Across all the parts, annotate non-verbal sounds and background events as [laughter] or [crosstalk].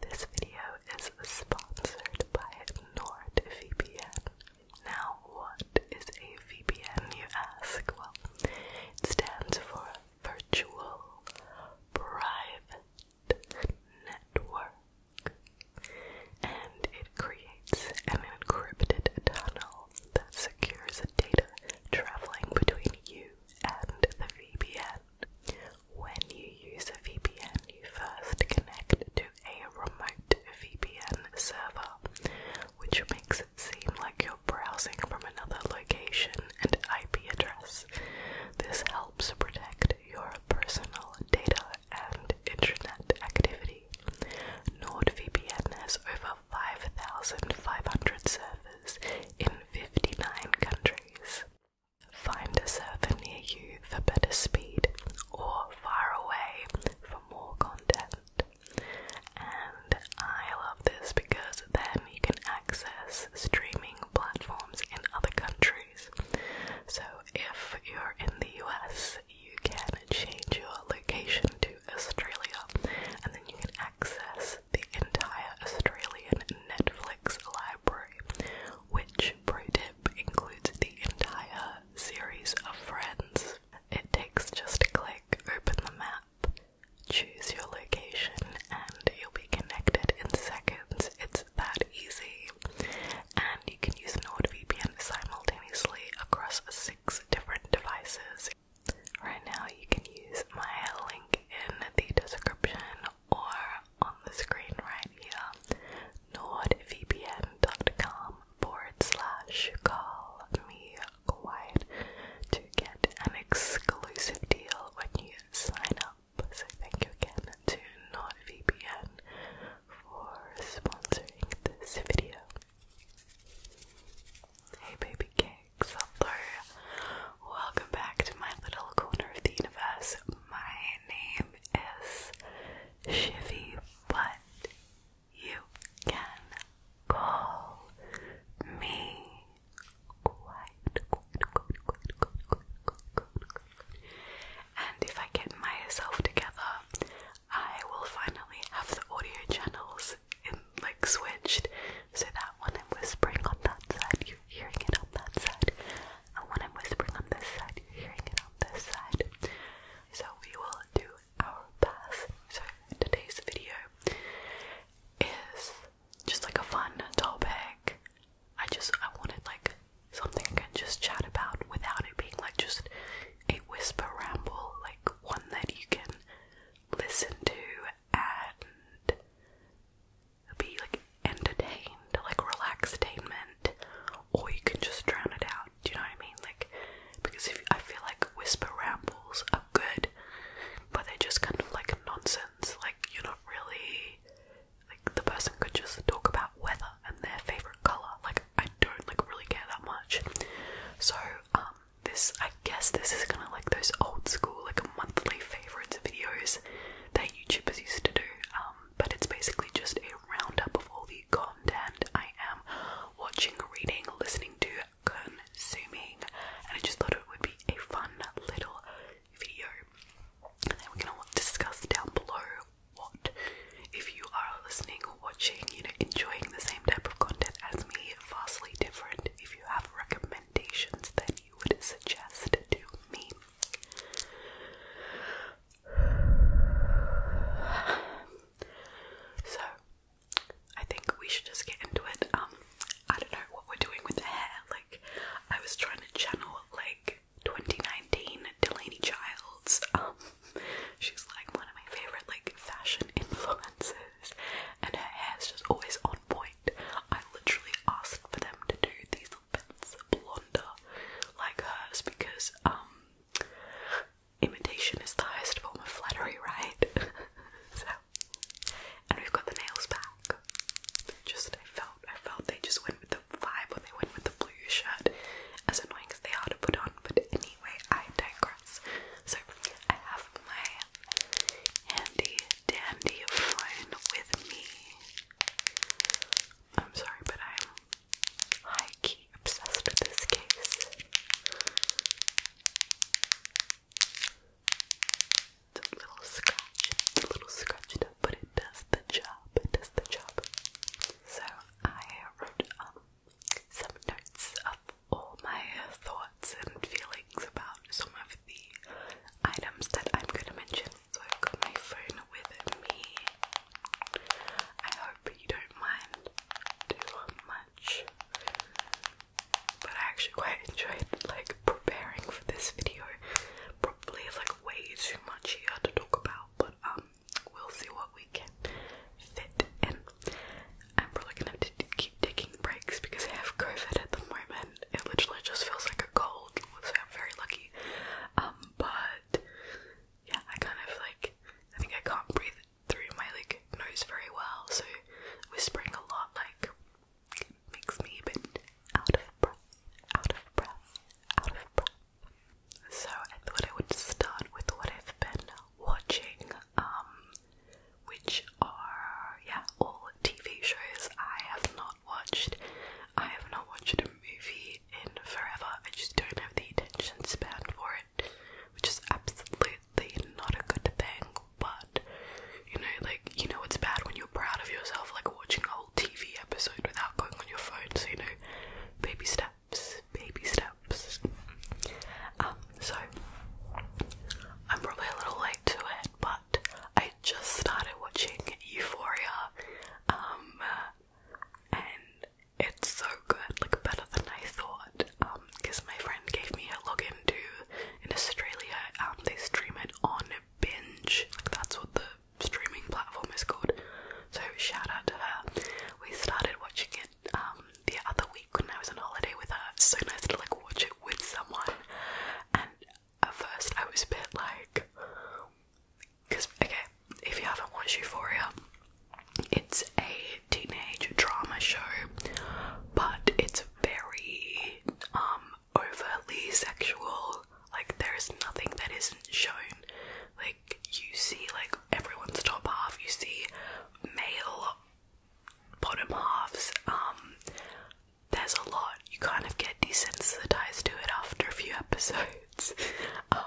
This video is sponsored by NordVPN. Now, what is a VPN, you ask? Well, it stands for Virtual Private Network, and it creates an encrypted tunnel that secures data traveling between you and the VPN. When you use a VPN, you first connect to a remote VPN server, which makes it seem like you're browsing from another location and IP address. This helps protect your personal data and internet activity. NordVPN has over 5,500 servers in 59 countries. Find a server near you for better speed or far away for more content. And I love this because then you can access streaming platforms in other countries. So if you're in the US, you can change your location to Australia and then you can access the entire Australian Netflix library, which, pro tip, includes the entire series of Friends. It takes just a click, open the map, choose your location, and you'll be connected in seconds. It's that easy. And you can use NordVPN simultaneously across six different devices. Right now, you can use my link in the description or on the screen right here nordvpn.com forward slash call me quiet to get an exclusive deal when you sign up. So thank you again to NordVPN for sponsoring this video. Hey baby cakes, Welcome back to my little corner of the universe. My name is Shifty, but you can call me Quiet. And if I get myself together, I will finally have the audio channels like switched so that when I'm whispering on that side, hearing it on that side. And when I'm whispering on this side, you're hearing it on this side. So we will do our pass. So today's video is just like a fun topic. I just I wanted like something I can just chat about without it being like just a whisper ramble, like one that you can listen to and be like entertained, like relaxtainment, or you can just drown it out. Do you know what I mean? Like, because I feel like whisper rambles are good, but they're just kind of like nonsense. Like, you're not really like the person could just talk about weather and their favorite color. Like, I don't like really care that much. So, um, this I guess this is kind of like those old school like monthly favorites videos that YouTubers used to do, um, but it's basically just a roundup of all the content I am watching, reading, listening to, consuming, and I just thought it would be a fun little video. And then we're gonna discuss down below what, if you are listening or watching, you know, enjoying the same type of content as me, vastly different. If you have recommendations, then you would suggest to me. So, I think we should just get into it. Um, I don't know what we're doing with the hair. Like, I was trying to channel like 2019 Delaney Childs. Um, she's like one of my favorite like fashion influences, and her hair's just always on point. I literally asked for them to do these little bits blonder like hers because um, imitation is the highest form of flattery, right? [laughs] so and we've got the nails back. Just I felt I felt they just went with the vibe or they went with the blue shirt. As annoying as they are to put on, but anyway, I digress. So I have my handy dandy of phone with me. I'm sorry, but I'm high key obsessed with this case. It's little scratch, it's little scratched but it does the job. It does the job. So I wrote um, some notes of all my thoughts and feelings about some of the items that I'm gonna mention. So I've got my phone with me. I hope you don't mind too much. But I actually quite [laughs] enjoyed like preparing for this video. Probably like way too much here to talk about, but um we'll see what we can fit in. I'm probably gonna have to keep taking breaks because I have COVID at the moment it literally just feels like a cold, so I'm very lucky. Um, but yeah, I kind of like I think I can't breathe through my like nose very well, so whispering a lot like makes me a bit out of breath, out of breath, out of breath. So I thought I would start with what I've been watching, um, which are yeah all TV shows I have not watched. I have not watched a movie in forever. I just don't have the attention span for it, which is absolutely not a good thing. But you know, like you know, it's bad when you're proud of yourself, like watching a whole TV episode without going on your phone. So you know, baby steps, baby steps. Um, so I'm probably a little late to it, but I just started watching Euphoria, um, and it's so good, like better than I thought, because um, my friend gave me a login to, in Australia, um, they stream it on Binge, like that's what the streaming platform is called, so shout out to her. We started watching it, um, the other week when I was on holiday with her, it's so nice to like watch it with someone, at first I was a bit like, because okay, if you haven't watched Euphoria, it's a teenage drama show, but it's very um overly sexual. Like there is nothing that isn't shown. Like you see, like everyone's top half. You see male bottom halves. Um, there's a lot. You kind of get desensitized to it after a few [laughs] episodes.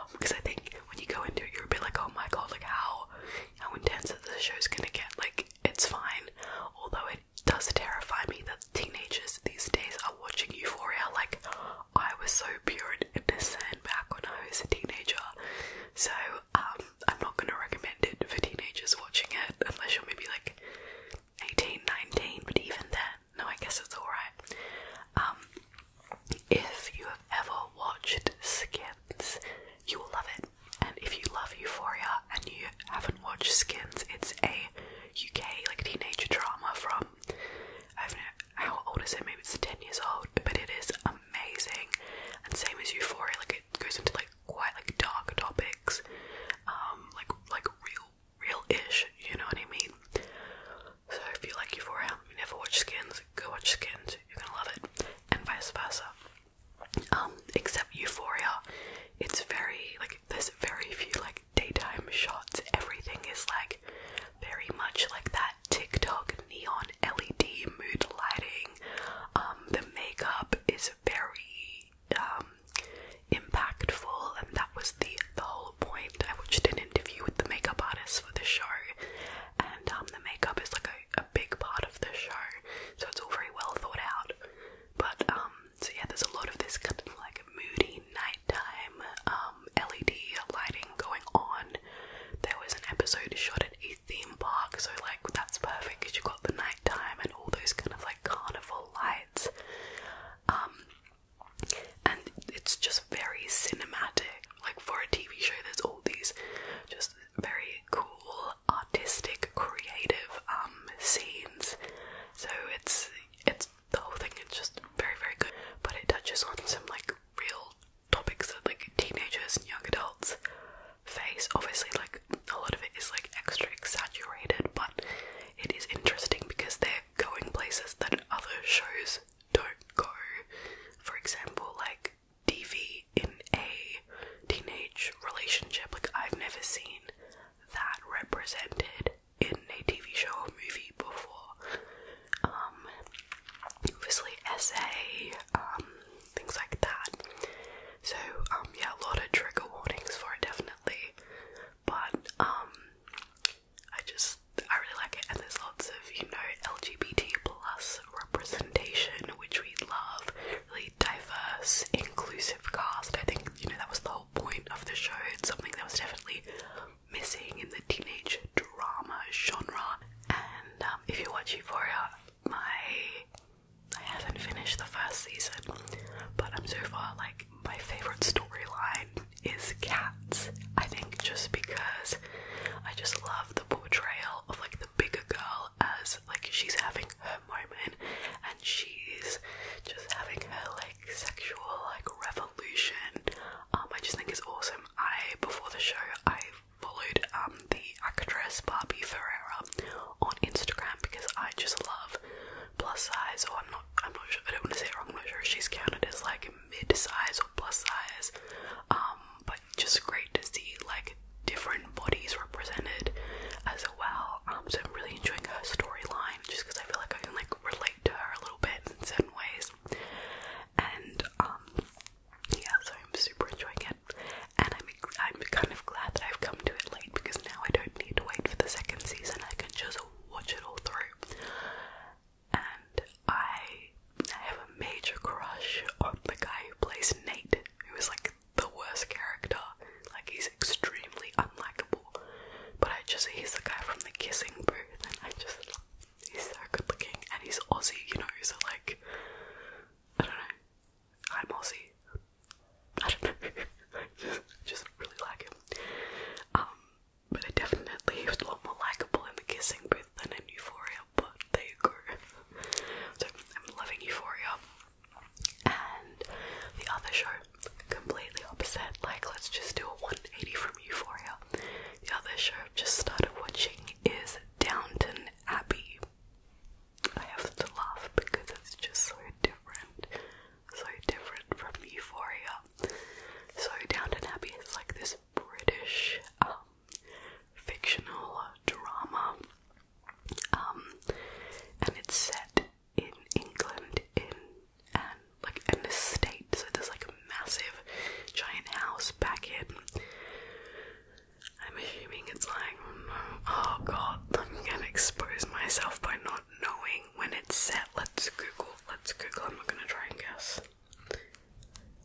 Because um, I think when you go into it, you're a bit like, oh my god, like how how intense this show's gonna get? Like it's fine. Although it does terrify me that teenagers these days are watching Euphoria. Like I was so pure and innocent back when I was a teenager. So um, I'm not gonna recommend it for teenagers watching it unless you're maybe like 18, 19, but even then, no, I guess it's alright. Um, if you have ever watched Skins, you will love it. And if you love Euphoria and you haven't watched Skins, it's a UK like teenage drama from I don't know how old is it, maybe it's 10 years old, but it is amazing. And same as Euphoria, like goes into like quite like dark topics, um, like like real real-ish, you know what I mean? So if you like Euphoria, you never watch Skins, go watch Skins, you're gonna love it, and vice versa. Um, except Euphoria, it's very like there's very few like daytime shots. Everything is like very much like that TikTok neon LED mood lighting. Um, the makeup is very um, impactful, and that was the the whole point. I watched an interview with the makeup artist for the show, and um, the makeup is like a, a big part of the show, so it's all very well thought out. But um, so yeah, there's a lot of this kind of like moody nighttime um LED lighting going on. There was an episode shot at a theme park, so like that's perfect because you got the nighttime and all those kind of like calm lights. Um, and it's just very cinematic. Like for a TV show, there's all these just very cool, artistic, creative um, scenes. So it's it's the whole thing It's just very very good. But it touches on some like real topics that like teenagers and young adults face. Obviously, like a lot of it is like extra exaggerated, but it is interesting because they're going places that other shows don't go. For example, like DV in a teenage relationship. Like I've never seen that represented in a TV show or movie before. Um, obviously, SA, um, things like that. So, um, yeah, a lot of trigger warnings for it, definitely. But, um, I just, I really like it, and there's lots of, you know, LGBT plus representation, which we love. Really diverse, inclusive cast. I think, you know, that was the whole point of the show. It's something that was definitely missing in the teenage drama genre. And, um, if you watch Euphoria, my I haven't finished the first season, but I'm so far like my favorite storyline is Cats. I think just because I just love the portrayal of like the bigger girl as like she's having her moment and she's just having her like sexual like revolution. Um, I just think it's awesome. I before the show I followed um the actress Barbie Ferreira on Instagram because I just love plus size or oh, I'm not I'm not sure I don't want to say it wrong, I'm not sure she's counted as like mid size or plus size. Um, but just great to see like different bodies represented as well. Um, so I'm really enjoying her storyline just because I feel like I can like relate to her a little bit in certain ways. And um, yeah, so I'm super enjoying it and I'm I'm kind of glad that I've come to it late because now I don't need to wait for the second season. I can just watch it all through. And I have a major crush on the guy who plays Nate, who is like the worst character. Like he's extremely unlikable. But I just he's the guy from the kissing booth and I just he's so good looking and he's Aussie, you know, so like I don't know. I'm Aussie. I don't know. just, [laughs] just really like him. Um, but it definitely was a lot more likable in the kissing booth than in Euphoria. But they you [laughs] so I'm loving Euphoria. And the other show, completely opposite. Like let's just do a 180 from Euphoria. The other show I've just started watching is Downton Abbey. I have to laugh because it's just so different, so different from Euphoria. So Downton Abbey is like this British um, fictional drama, um, and it's set in England in and like an estate. So there's like a massive, giant house back in I'm assuming it's like, oh god, I'm gonna expose myself by not knowing when it's set. Let's Google, let's Google, I'm not gonna try and guess.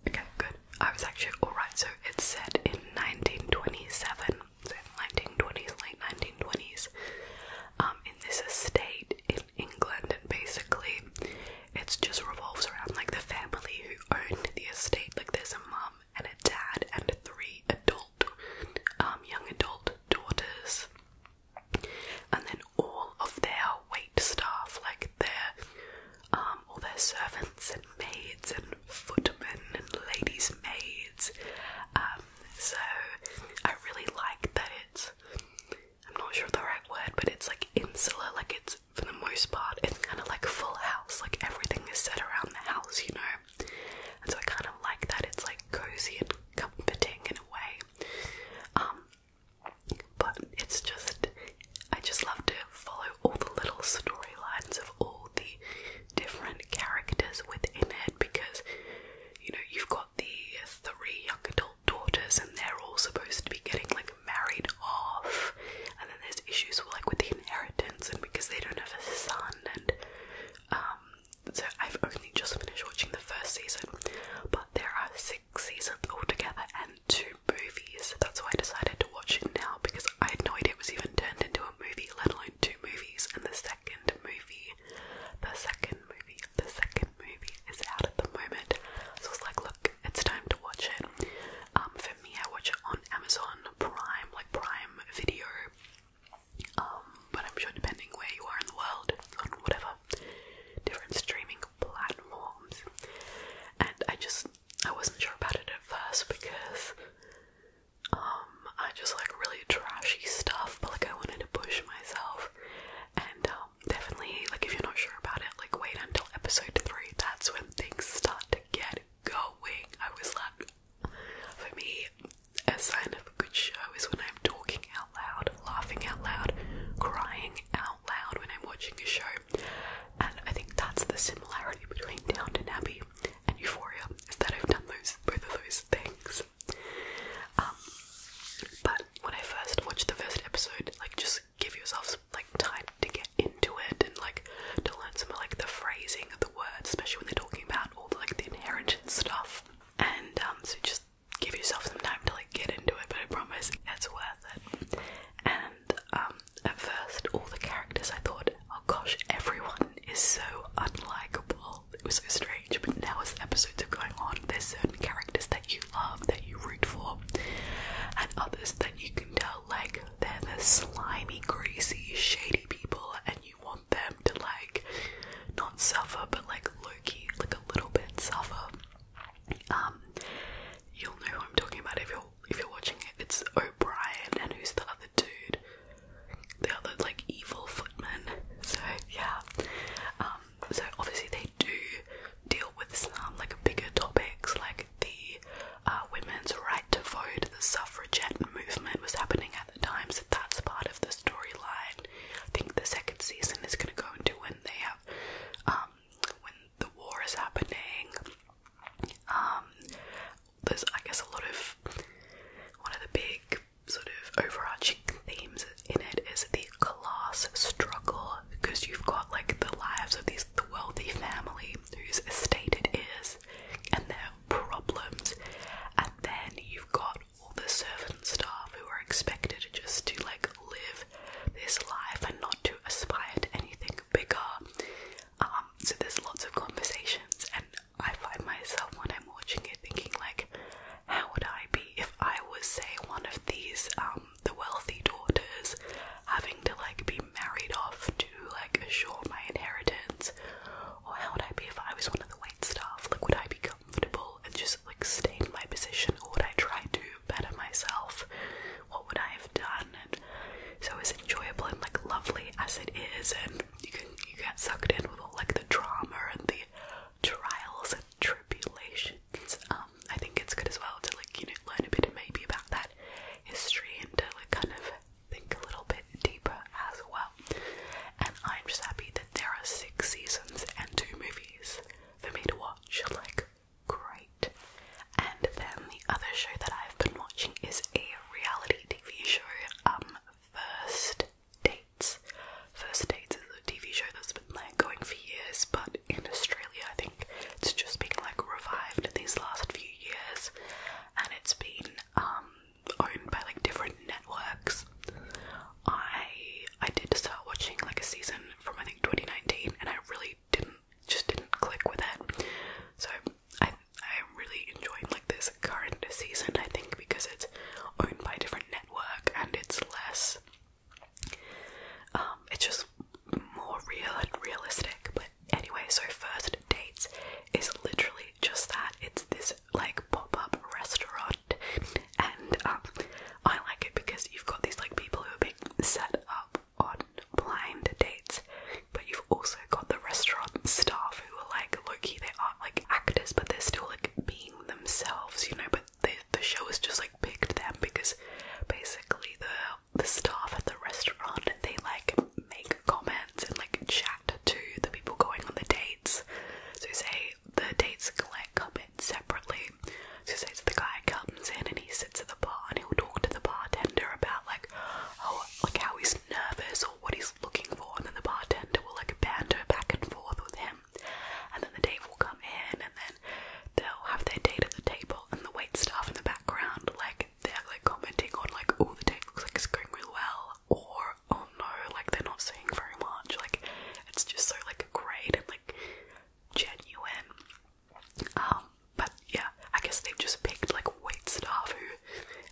Okay, good. I was actually alright, so it's set in 1927, so 1920s, late 1920s, um, in this estate in England, and basically it just revolves around like the family who owned the estate. Like, there's a mom and a dad and three adult, um, young adult daughters, and then all of their wait staff, like their, um, all their servants and maids and footmen and ladies' maids. Um, so I really like that it's. I'm not sure of the right word, but it's like insular, like it's for the most part, it's kind of like full house, like everything is set around the house, you know? so I kind of like that. It's like cozy and comforting in a way. Um, but it's just, I just love to follow all the little storylines of all the different characters within it because, you know, you've got the three young adult daughters and they're all supposed to be getting like married off, and then there's issues like with the inheritance and because they don't have a son and um, so I've only just finished watching the first season, but there are six seasons altogether and two movies. That's why I decided to watch it now because I had no idea it was even turned into a movie, let alone two movies. And the second movie, the second movie, the second movie is out at the moment. So I was like, look, it's time to watch it. Um, for me, I watch it on Amazon Prime, like Prime Video. Um, but I'm sure depending where you are in the world, on whatever different streaming platforms. And I just I wasn't sure about it at first because um, I just like really trashy stuff, but like I wanted to push myself. And um, definitely like if you're not sure about it, like wait until episode three, that's when things start to get going. I was like for me, a sign of a good show is when I'm talking out loud, laughing out loud, crying out loud when I'm watching a show. And I think that's the similarity between Downton Abbey and Euphoria, is that I've done those both of those things. Um, but when I first watched the first episode, like just give yourself some, like time to get into it and like to learn some of like the phrasing words, especially when they're talking about all the like the inheritance stuff. And um, so just give yourself some time to like get into it, but I promise it's worth it. And um, at first, all the characters I thought, oh gosh, everyone is so unlikable. It was so strange, but now as episodes are going on, there's certain characters that you love, that you root for, and others that you can tell like they're the slimy, greasy, shady people, and you you want them to like not suffer but like Loki, like a little bit suffer um you'll know who I'm talking about if you're if you're watching it it's O'Brien and who's the other dude the other like evil footman so yeah um, so obviously they do deal with some um, like bigger topics like the uh, women's women's to vote the suffragette movement was happening at the time, so that's part of the storyline. I think the second season is going to go into when they have, um, when the war is happening. Um, there's, I guess, a lot of one of the big sort of overarching themes in it is the class struggle because you've got like the lives of these wealthy family whose estate it is and their problems. And then you've got all the servant staff who are expected just to like live this life and not to aspire to anything bigger. Um, so there's lots of conversations, and I find myself when I'm watching it thinking like, how would I be if I was say one of these um the wealthy daughters having to like be married off to like assure my inheritance or oh, how would I be if I was one of the wait staff? Like, would I be comfortable and just like stay in my position, or would I try to better myself? What would I have done? And so as enjoyable and like lovely as it is, and you can you get sucked in with all like the drama and the trials and tribulations. Um, I think it's good as well to like you know learn a bit maybe about that history and to like kind of think a little bit deeper as well. And I'm just happy that there are six seasons and two movies for me to watch. Like, great. And then the other show that I've been watching is a reality TV show, um, First Dates. First Dates is a TV show that's been like going for years, but in Australia, I think it's just been like revived in these last few years, and it's been um, owned by like different networks. I I did start watching like a season from I think 2019, and I really didn't just didn't click with it. So I I really enjoyed like this current season. I think because it's owned by a different network and it's less. Um, it's just more real and realistic, but Anyway, so first dates is literally just that. It's this like pop-up restaurant, and um, I like it because you've got these like people who are being set up on blind dates, but you've also got the restaurant staff who are like low they are like actors, but they're still like being themselves, you know. But they, the show is just like picked them because basically the the staff at the restaurant they like make comments and like chat to the people going on the dates. So say the dates collect comments separately. So say so the guy comes in and he sits at the bar and he'll talk to the bartender about like oh like how he's nervous or what he's looking for and then the bartender will like banter back and forth with him and then the date will come in and then they'll have their date at the table and the wait staff in the background like they're like commenting on like oh the date looks like it's going really well or oh no like they're not saying very much like it's just so like great and like genuine um, but yeah I guess they've just picked like wait stuff who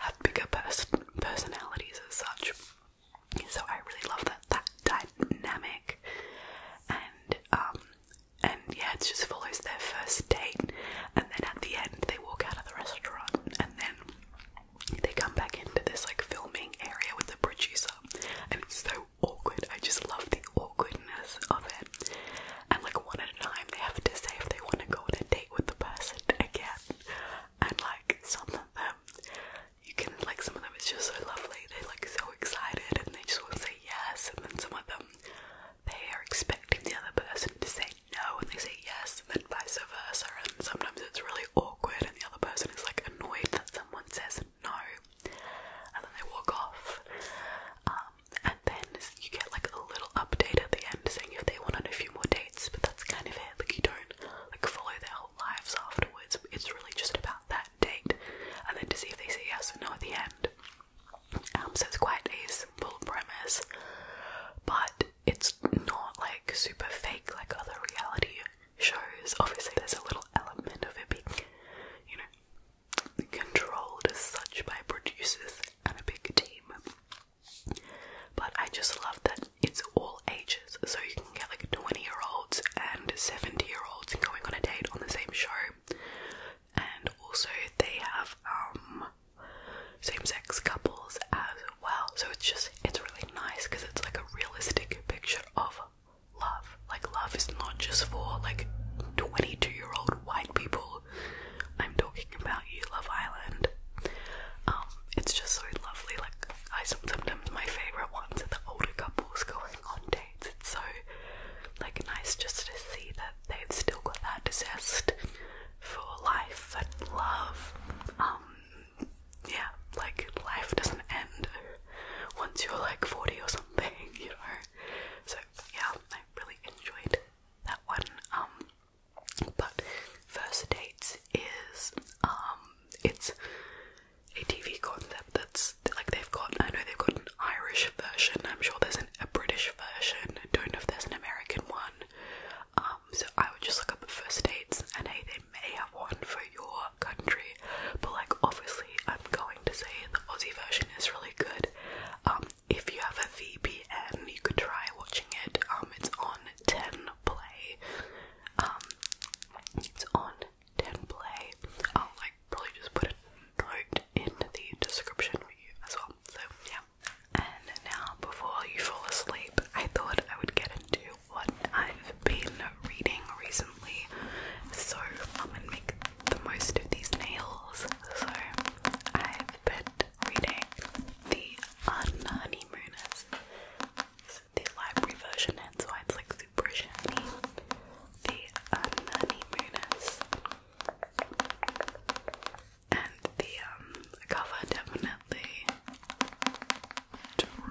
have bigger personalities as such so I really love that that dynamic and um, and yeah it just follows their first date and then at the end they walk out of the restaurant and then they come back into this like filming area with the producer and it's so awkward. I just love the awkwardness of it. And like one at a time they have to say if they want to go on a date with the person again. And like some of them you can like some of them it's just so lovely. They're like so excited and they just want to say yes and then some of them they are expecting the other person to say no and they say yes then vice versa and sometimes it's really awkward and the other person is like annoyed that someone says no and then they walk off um, and then you get like a little update at the end saying if they want on a few more dates but that's kind of it like you don't like follow their whole lives afterwards it's really just about that date and then to see if they say yes or no at the end um, so it's quite a simple premise, but it's not like super fake like other reality shows. Obviously, there's a little element of it being, you know, controlled as such by producers and a big team. But I just love that it's all ages, so you can get like 20 year olds and 70 year olds going on a date on the same show, and also they have, um, same-sex couples as well. So it's just it's really nice because it's like a realistic picture of love. Like love is not just for like 22-year-old white people. I'm talking about you, Love Island. Um, it's just so lovely. Like I sometimes my favorite ones are the older couples going on dates. It's so like nice just to see that they've still got that zest for life and love. Um, yeah, like life doesn't end once you're like 40 or something, [laughs] you know. So, yeah, I really enjoyed that one. Um, but First Dates is, um, it's a TV concept that's like they've got, I know they've got an Irish version, I'm sure there's a British version, I don't know if there's an American one, um, so I would just look up the first dates, and hey, they may have one for your country, but like obviously, I'm going to say the Aussie version is really good. Um, if you have a VPN, you could try watching it. Um, it's on Ten Play. it's on Ten Play. I'll like probably just put a note in the description for you as well. So yeah. And now, before you fall asleep, I thought I would get into what I've been reading recently so I'm gonna make the most of these nails. So I've been reading The Unhoneymooners. It's the library version and so it's like super shiny. The Unhoneymooners and um, the cover definitely drew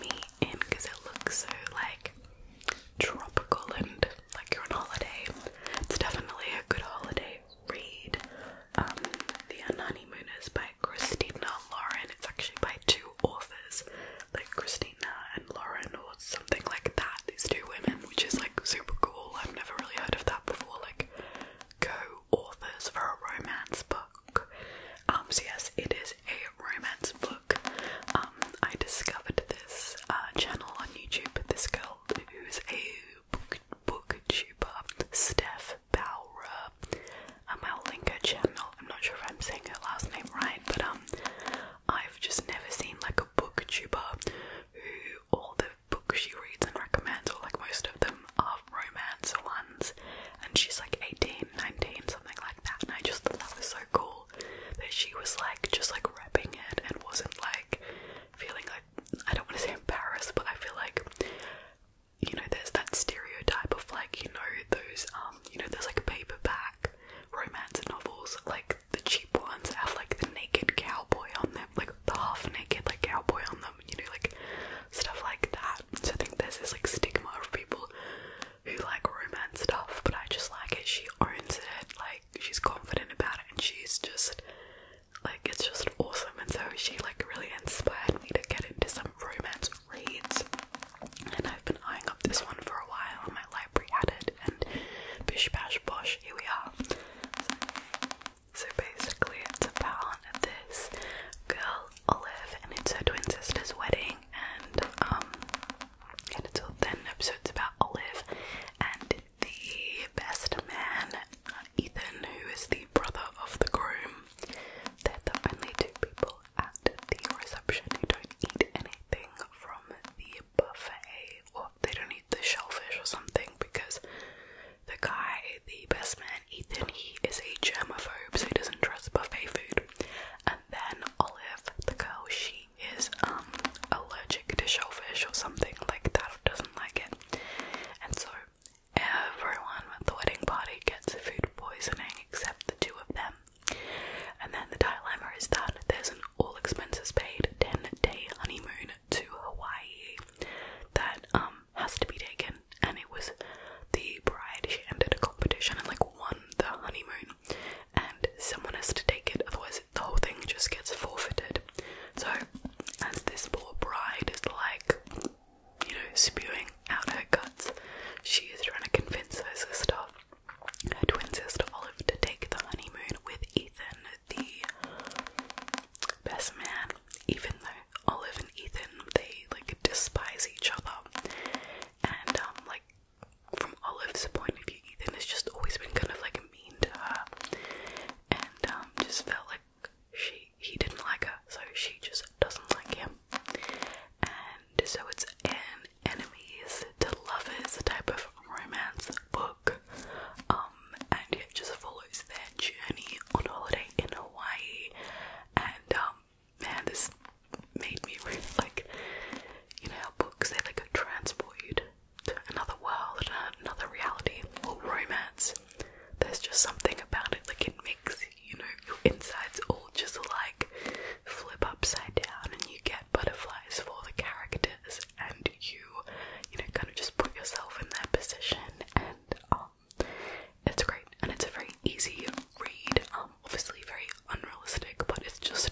me in because it looks so like tropical and like you're on holiday. It's definitely a good holiday read. Um, The Unhoneymooners by Christina Lauren. It's actually by two authors, like Christina and Lauren, or something like that. These two women, which is like super cool. I've never really heard of that before. Like co-authors for a romance book. Um, yes, it is a romance book. Um, I discovered this uh, channel on YouTube. This girl who's a book booktuber, Steph Bowra. Um, I'll link her channel. I'm not sure if I'm saying her last name right, but um, I've just never seen like a booktuber who all the books she reads and recommends, or like most of them are romance ones, and she's like 18, 19, something like that. And I just thought that was so cool that she was like just like repping it and wasn't like feeling like I don't want to say embarrassed, but I feel like you know, there's that stereotype of like, you know, those um, you know, there's like paperback romance novels, like the cheap ones that have like the naked cowboy on them, like the half naked like cowboy on them, you know, like stuff like that. So I think this is like stigma of people who like romance stuff, but I just like it. She owns it, like she's confident about it, and she's just like it's just awesome. And so she like really inspired me to get into some romance reads, and I've been eyeing up this one for a while. My library added and bish bash bosh, here we are. So basically, it's about this girl Olive, and it's her twin sister's wedding, and um, and it's all ten episodes about Olive and the best man, Ethan, who is the brother of the groom. They're the only two people at the reception who don't eat anything from the buffet. Well, they don't eat the shellfish or something because the guy, the best man, Ethan, he is a germaphobe, so he doesn't trust buffet food. And then Olive, the girl, she is um, allergic to shellfish or something like that, doesn't like it. And so everyone at the wedding party gets food poisoning except the two of them. And then the dilemma is that there's an all expenses paid 10 day honeymoon to Hawaii that um, has to be taken and it was the bride she ended a competition and like won the honeymoon and someone has to take it otherwise the whole thing just gets forfeited so as this poor bride is like you know spewing out her guts she is trying to convince her sister her twin sister Olive to take the honeymoon with Ethan the best man, even though Olive and Ethan they like despise each other, and um like from Olive's point of view, Ethan has just always been kind of like mean to her, and um just felt like she he didn't like her, so she just doesn't like him, and so it's an enemies to lovers type of romance book. Um, and it just follows their journey on holiday in Hawaii. And um, man, this made me really like, you know, how books they like transport you to another world, uh, another reality, All romance. There's just something about it, like it makes you know your insides all just like flip upside down, and you get butterflies for the characters and you, you know, kind of just put yourself in that position, and um, it's great. And it's a very easy read. Um, obviously very unrealistic, but it's just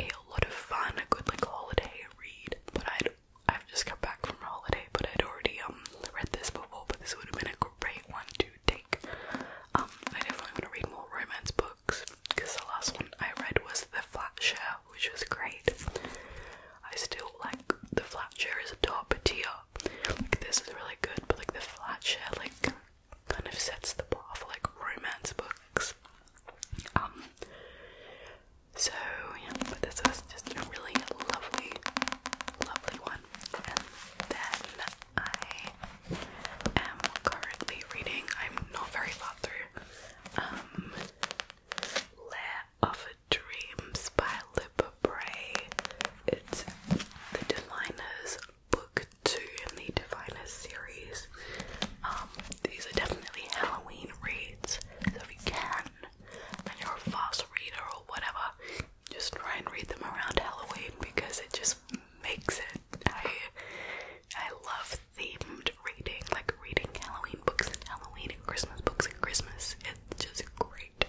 a lot of fun, a good like holiday read. But i I've just come back from a holiday, but I'd already um read this before, but this would have been a great one to take. Um, I definitely want to read more romance books because the last one I read was The Flat Share which was great. I still like the flat chair is a top tier. Like this is really good, but like the flat chair like kind of sets the bar for like romance books. Um so yeah, but this was just a really lovely, lovely one. And then I am currently reading, I'm not very far through, um Lair of Dreams by Libba Bray. It's the Diviners book two in the Diviners series. Um, these are definitely Halloween reads, so if you can, and you're a fast reader or whatever, just try and read them around Halloween because it just makes it. I I love themed reading, like reading Halloween books and Halloween and Christmas books and Christmas. It's just great.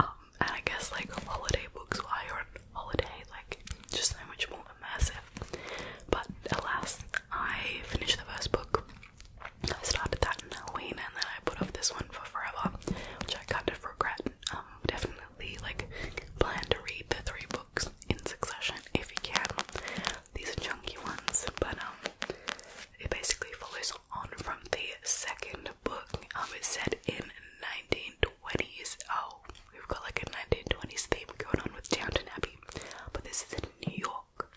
Um, and I guess like holiday books why you're holiday, like just so much more immersive. But alas, I finished the first book. I started that in Halloween and then I put off this one for forever, which I kind of regret. Um, definitely like plan to read the three books in succession if you can these are chunky ones, but um, it basically follows on from the second book. Um, it's set in 1920s. Oh, we've got like a 1920s theme going on with Downton Abbey, but this is in New York,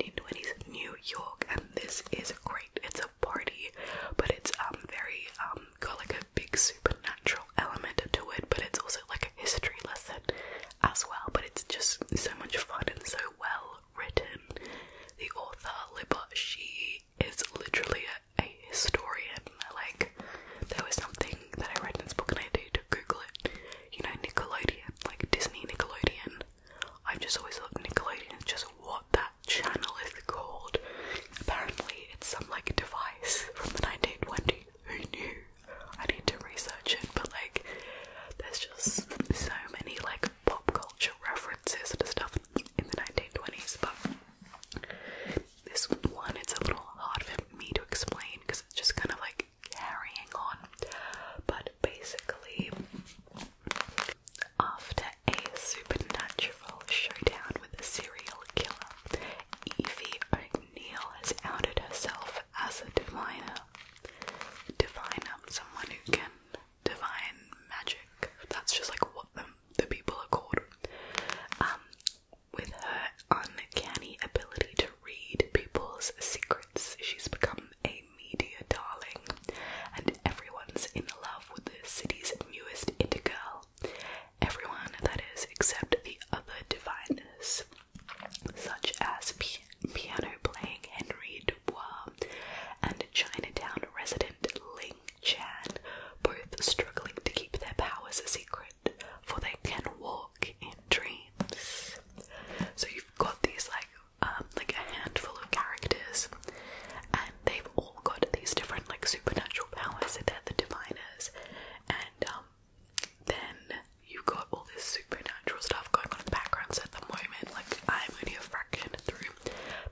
1920s New York, and this is great. It's a party, but it's um very um got like a big supernatural element to it, but it's also like history lesson as well, but it's just so much fun and so well written. The author, Libba, she is literally a, historian. Like, there was something that I read in this book and I did Google it. You know, Nickelodeon, like Disney Nickelodeon. I've just always looked Nickelodeon is just what that channel is called. Apparently, it's some like device from the 1920s. Who knew? I need to research it, but like, there's just so many like pop culture references and stuff in the 1920s. But this one, it's a little hard for me to explain because it's just kind of like carrying on. But basically, after a supernatural showdown with a serial killer, Evie O'Neil has outed herself as a diviner. diviner, someone who can divine magic. That's just like what the, people are called. Um, with her uncanny ability to read people's secrets, she's become a media darling, and everyone's in love with the city's newest it girl. Everyone, that is, except the other diviners such as piano playing Henry Dubois and Chinatown resident Ling Chan, both struggling to keep their powers a secret, for they can walk in dreams. So you've got these like um, like a handful of characters, and they've all got these different like supernatural powers. So they're the diviners, and um, then you've got all this supernatural stuff going on in the background. at the moment, like I'm only a fraction through.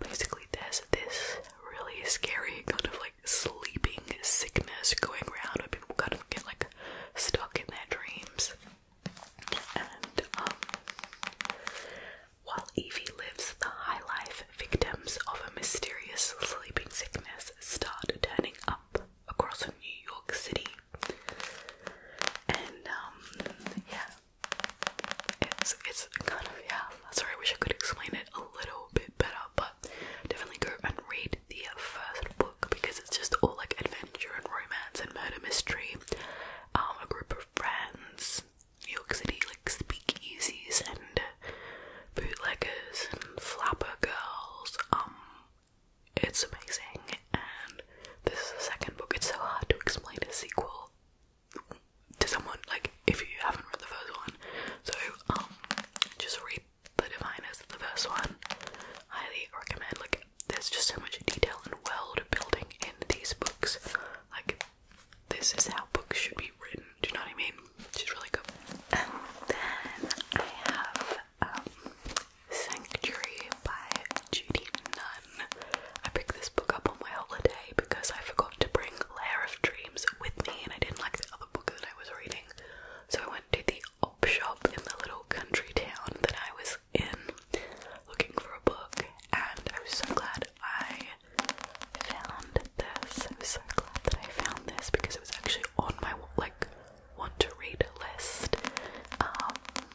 Basically, there's this really scary kind of like sleeping sickness going around where people kind of get like stuck in their dreams. And um, while Evie lives the high life, victims of a mysterious sleeping sickness start turning up across New York City. And um, yeah. It's it's kind of yeah, sorry I wish I could explain it a little bit better, but definitely go and read the first book because it's just all like adventure and romance and murder mystery. Um a group of friends, New York City like speakeasies and bootleggers and flapper girls, um it's amazing, and this is the second book. It's so hard to explain a sequel to someone, like, if you haven't read the first one. So, um, just read The Diviners, the first one. Highly recommend, like, there's just so much detail and world building in these books. Like, this is how books should be written, do you know what I mean? She's really good. And then I have um, Sanctuary by Judy Nunn. I picked this book up on my holiday because I forgot to bring Lair of Dreams with me and I didn't like the other book that I was reading. So I went to the op shop in the little country town that I was in looking for a book and I was so glad I found this. I was so glad that I found this because it was actually on my like want to read list. Um,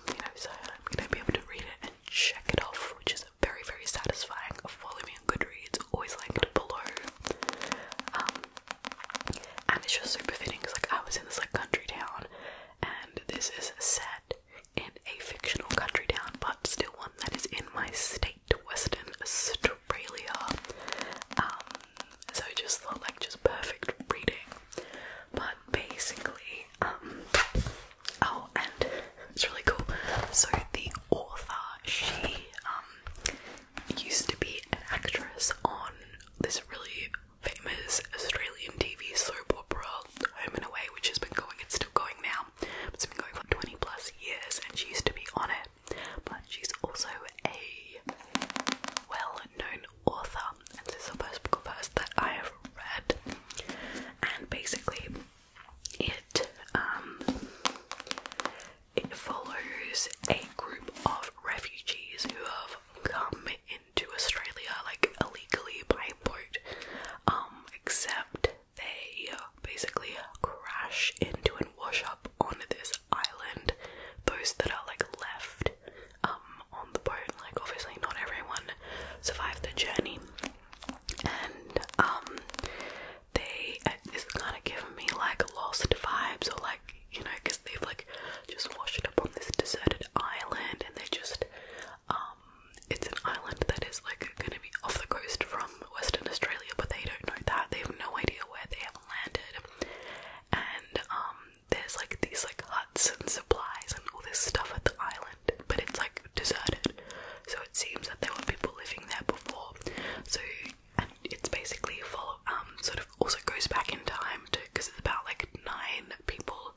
you know, so I'm gonna be able to read it and check it off, which is very, very satisfying. Follow me on Goodreads, always linked below. Um, and it's just super fitting because, like, I was in this like country town, and this is set in a fictional country town, but still one that is in my state, Western Australia. Um, so I just thought, like, just perfect reading but basically, um, oh, and it's really cool. So the author, she um, used to be an actress on this really famous Australian TV soap opera, Home and Away, which has been going. It's still going now. it's been going for 20 plus years, and she used to be on it. But she's also a well-known author, and this is the first book of hers that I have read. And basically, it um, it follows a group of refugees who have come into Australia like illegally by boat, um, except they basically crash into and wash up on this this island, those that are like left um, on the boat, like obviously not everyone survived the journey. And um, they uh, it's kind of giving me like lost vibes or like you know because they've like just washed up on this deserted island and they just um, it's an island that is like gonna be off the coast from Western Australia but they don't know that they have no idea where they have landed and um there's like these like huts and supplies and all this stuff at the island, but it's like deserted. So it seems that there were people living there before. So and it's basically follow um, sort of also goes back in time to because it's about like nine people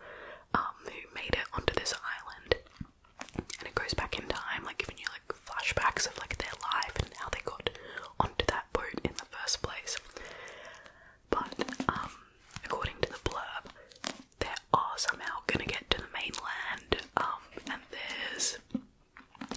um, who made it onto this island. And it goes back in time, like giving you like flashbacks of like their life and how they got onto that boat in the first place. But um, according to the blurb, they are somehow gonna get to the mainland. Um, and there's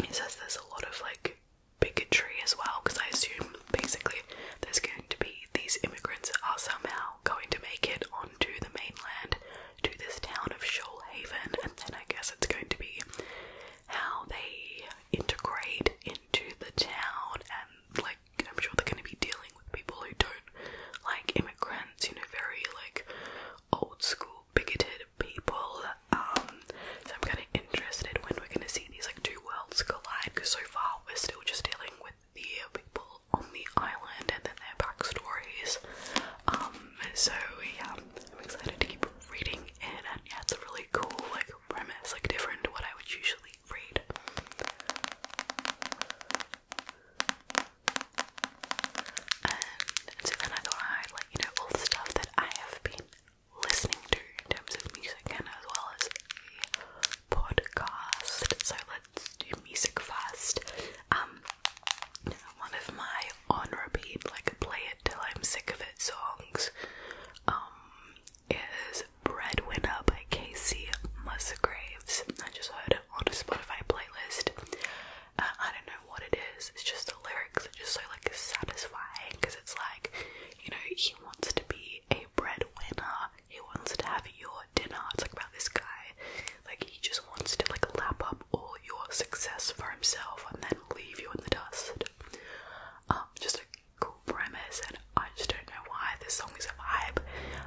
it says there's a lot of like bigotry as well because I assume basically there's going to be these immigrants are somehow going to make it onto the mainland to this town of Shoalhaven, and then I guess it's going to be how they integrate into the town and like I'm sure they're gonna be dealing with people who don't like immigrants, you know, very like old school bigoted people. Um, so I'm kinda interested when we're gonna see these like two worlds collide because so far we're still just dealing with the people on the island and then their backstories. Um so yeah, I'm excited to keep reading it and yeah it's really cool like premise, like different to what I would usually read. And, so then I thought i like, you know, all the stuff that I have been listening to in terms of music and as well as a podcast. So let's do music first. Um one of my on repeat like play it till I'm sick of it songs um is Breadwinner by Casey Musgraves. I just heard it on a Spotify playlist. Uh, I don't know what it is, it's just the lyrics are just so like satisfying because it's like, you know, he wants to be a breadwinner, he wants to have your dinner. It's like about this guy, like he just wants to like lap up all your success for himself and then leave you in the dust. Um, just cool premise, and I just don't know why this song is a vibe.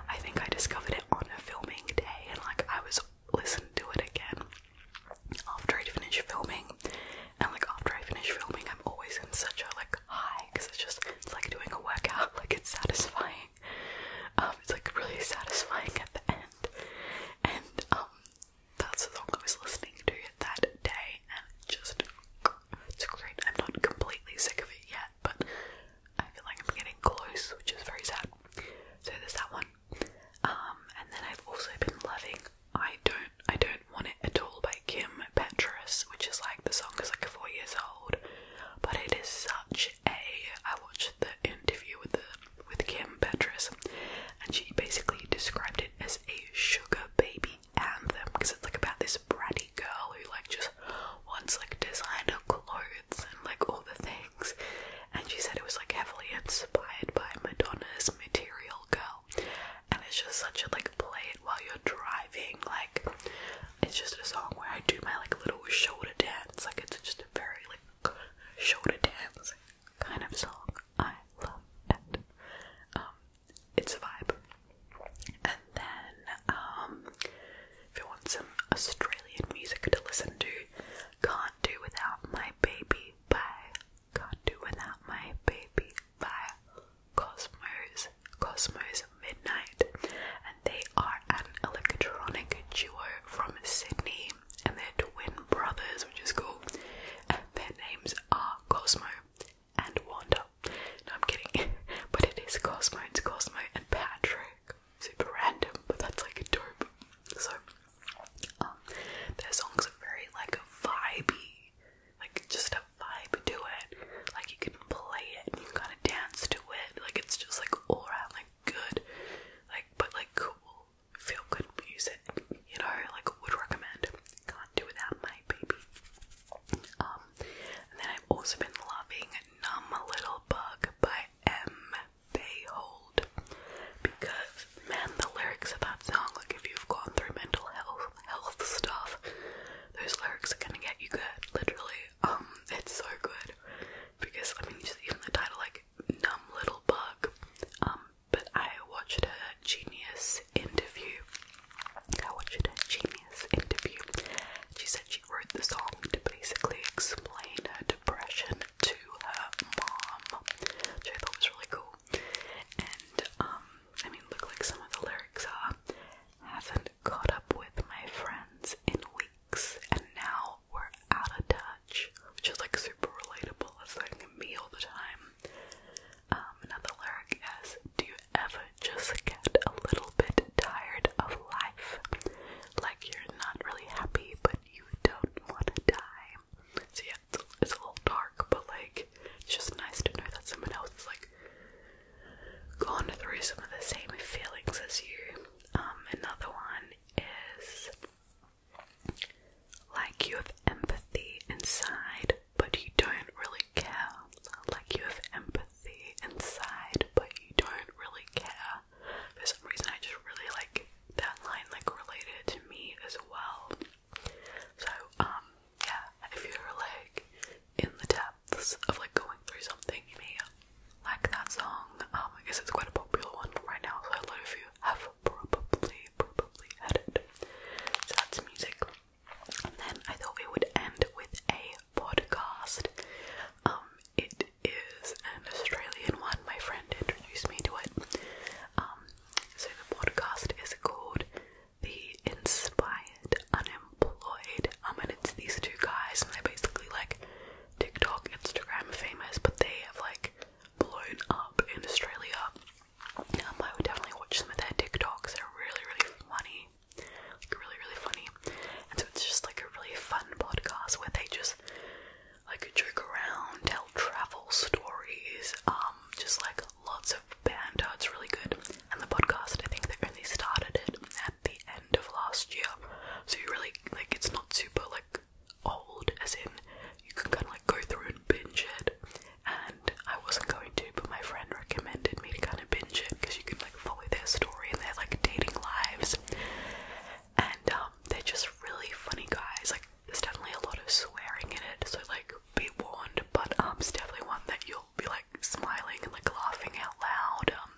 I think I discovered it on a filming day, and like I was listening to it again after I'd finished filming, and like after I finish filming, I'm always in such a like high because it's just it's like doing a workout, [laughs] like it's satisfying. Um, it's like really satisfying at the end, and um, that's the song I was listening to that day, and just I'm not completely sick of it yet, but I feel like I'm getting close, which is very sad. So there's that one. Um, and then I've also been loving I Don't I Don't Want It At All by Kim Petras, which is like the song is like four years old. But it is such a I watched the interview with the with Kim Petras and she basically described it as a sugar baby anthem because it's like about this bratty girl who like just wants like designer clothes and like all the things and she said it was like heavily inspired by Madonna's Material Girl and it's just such a like play it while you're driving like it's just a song where I do my like little shoulder dance like it's just a very like shoulder dance kind of song I love it um it's a vibe. And then, um, if you want some Australian music to listen to, Can't Do Without My Baby by Can't Do Without My Baby by Cosmos, Cosmos Midnight, and they are an electronic duo from Sydney, and they're twin brothers, which is cool. their names are Cosmos and Wanda. No, I'm kidding. [laughs] but it is Cosmo, it's Cosmo and Patrick. Super random, but that's like a dope. So, um, their songs are very like vibey, like just a vibe to it. Like you can play it and you kind of dance to it. Like it's just like all around like good, like but like cool, feel good music. You know, like would recommend do without my baby. Um, and then I've also been loving Numb Little Bug by M. Bayhold because man, the lyrics of that song, like if you've gone through mental health health stuff, those lyrics are gonna get you good, literally. Um, it's so good because I mean, just even the title, like Numb Little Bug, um, but I watched her Genius interview. I watched her Genius interview. She said she wrote the song to basically explain her depression to her mom, which I thought was really cool. And um, I mean, look like some of the lyrics are. Haven't caught up with my friends in weeks, and now we're out of touch, which is like super relatable. It's like me all the time. Um, another lyric is Do you ever just get a little bit tired of life? Like you're not really happy, but you don't want to die. So, yeah, it's, a little dark, but like it's just nice to know that someone else is like gone through some of the same feelings as you. Um, another one is like you have empathy inside, but you don't really care. Like you have empathy inside, but you don't really care. For some reason, I just really like that line, like related to me as well. So, um, yeah, if you're like in the depths of like going through something, you may like that song. Um, I guess it's quite a popular one right now, so a lot of you have probably, probably heard it. So that's music. And then I thought we would end with a podcast. Um, it is an Australian one. My friend introduced me to it. Um, so the podcast is called The Inspired Unemployed. Um, and it's these two guys, and they basically like TikTok, Instagram famous, but they have like blown up in Australia. Um, I would definitely watch some of their TikToks. They're really, really funny, like really, really funny. And so it's just like a really fun podcast where they just like joke around, tell travel stories, um, just like lots of banter. It's really good. And the podcast, I think they only started it at the end of last year, so you really like it's not super like old, as in you can kind of like go through and binge it and I wasn't going to, but my friend recommended me to kind of binge it because you can like follow their story and their like dating lives, and um, they're just really funny guys. Like, there's definitely a lot of swearing in it, so like be warned. But um, it's definitely one that you'll be like smiling and like laughing out loud. Um,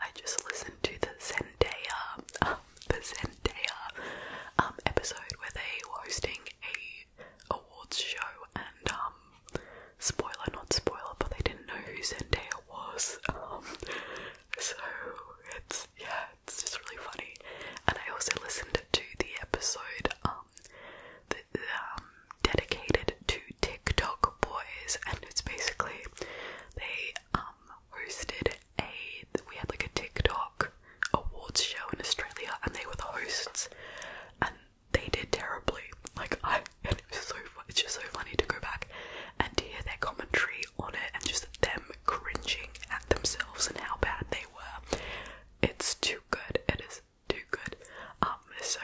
I just listened to the Zendaya, um, [laughs] the Zendaya um, episode where they were hosting a awards show, and um, spoiler, not spoiler, but they didn't know who Zendaya was. Um, so it's yeah, it's just really funny. And I also listened to the episode um, um dedicated to TikTok boys, and it's basically they um hosted a we had like a TikTok awards show in Australia and they were the hosts and they did terribly. Like [laughs] it's just so funny to go back and to hear their commentary on it and just them cringing at themselves and how bad they were. It's too good. It is too good. Um so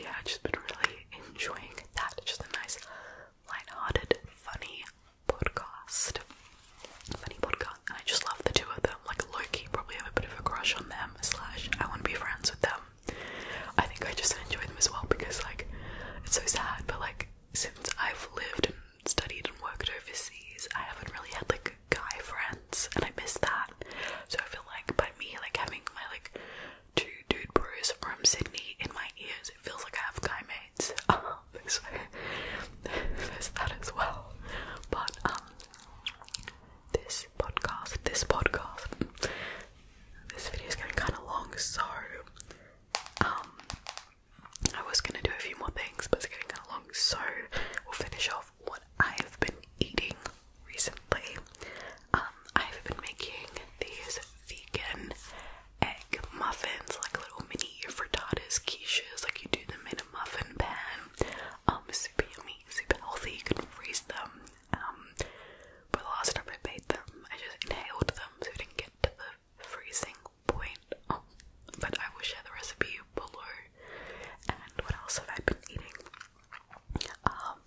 yeah, I've just been really enjoying that. Just a nice light-hearted, funny podcast funny podcast, and I just love the two of them. Like Loki, probably have a bit of a crush on them. Slash, I want to be friends with them. I think I just enjoy them as well because like it's so sad, but like since I've lived and studied and worked overseas, I haven't really had like guy friends, and I miss that. So I feel like by me like having my like two dude bros from Sydney in my ears, it feels like I have guy mates. [laughs] there's, there's that as well. But um, this podcast, this podcast, this video is getting kind of long, so um, I was gonna do a few more things, but it's getting kind of long, so we'll finish off what I've been eating recently. Um, I've been making these vegan egg muffins, like little mini frittatas, quiches, like you do them in a muffin pan um, super yummy, super healthy, you can freeze them, um, but the last time I made them, I just inhaled them so I didn't get to the freezing point, um, but I will share the recipe below, and what else have I been eating, um,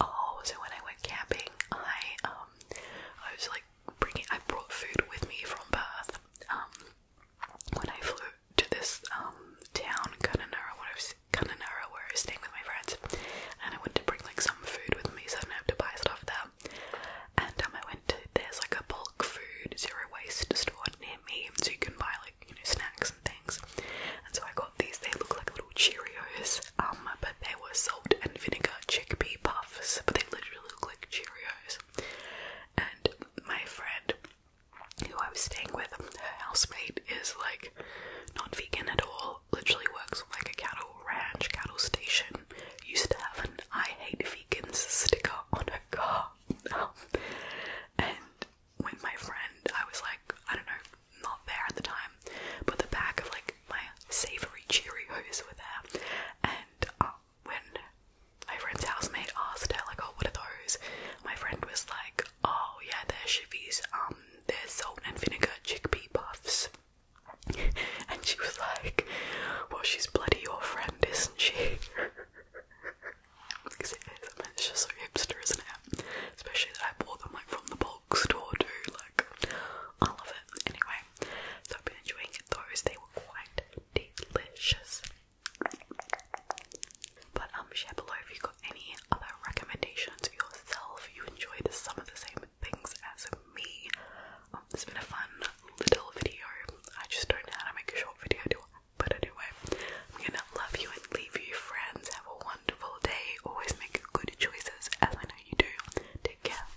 oh, so when I went camping, I, um, I was like bringing, I brought food with me from Perth, um, when I flew to this um town, Kununurra, where I was, Kununurra, where I was staying with my friends, and I wanted to bring like some food with me so I didn't have to buy stuff there. And um, I went to there's like a bulk food zero waste store near me, so you can buy like you know snacks and things. And so I got these. They look like little Cheerios, um, but they were salt and vinegar chickpea puffs, but they literally look like Cheerios. And my friend who I was staying with, her housemate is like not vegan at all, literally works on like a cattle ranch, cattle station, used to have an I hate vegans sticker on her car. [laughs] and when my friend, I was like, I don't know, not there at the time, but the back of like my savory Cheerios were there, and uh, when my friend's housemate asked her, like, oh, what are those? My friend was like, oh, yeah, they're chivies, um, they're salt and vinegar chickpea puffs. [laughs] and she was like, well, she's bloody your friend, isn't she? [laughs] because it is, it's just so hipster, isn't it? Especially that I bought them, like, from the bulk store, too, like, I love it. Anyway, so I've been enjoying those, they were quite delicious. But um share below if you got any other recommendations yourself, you enjoyed some of the same things as me. Um, it's been a fun little video. I just don't know how to make a short video do I? But anyway, I'm gonna love you and leave you friends. Have a wonderful day. Always make good choices as I know you do. Take care.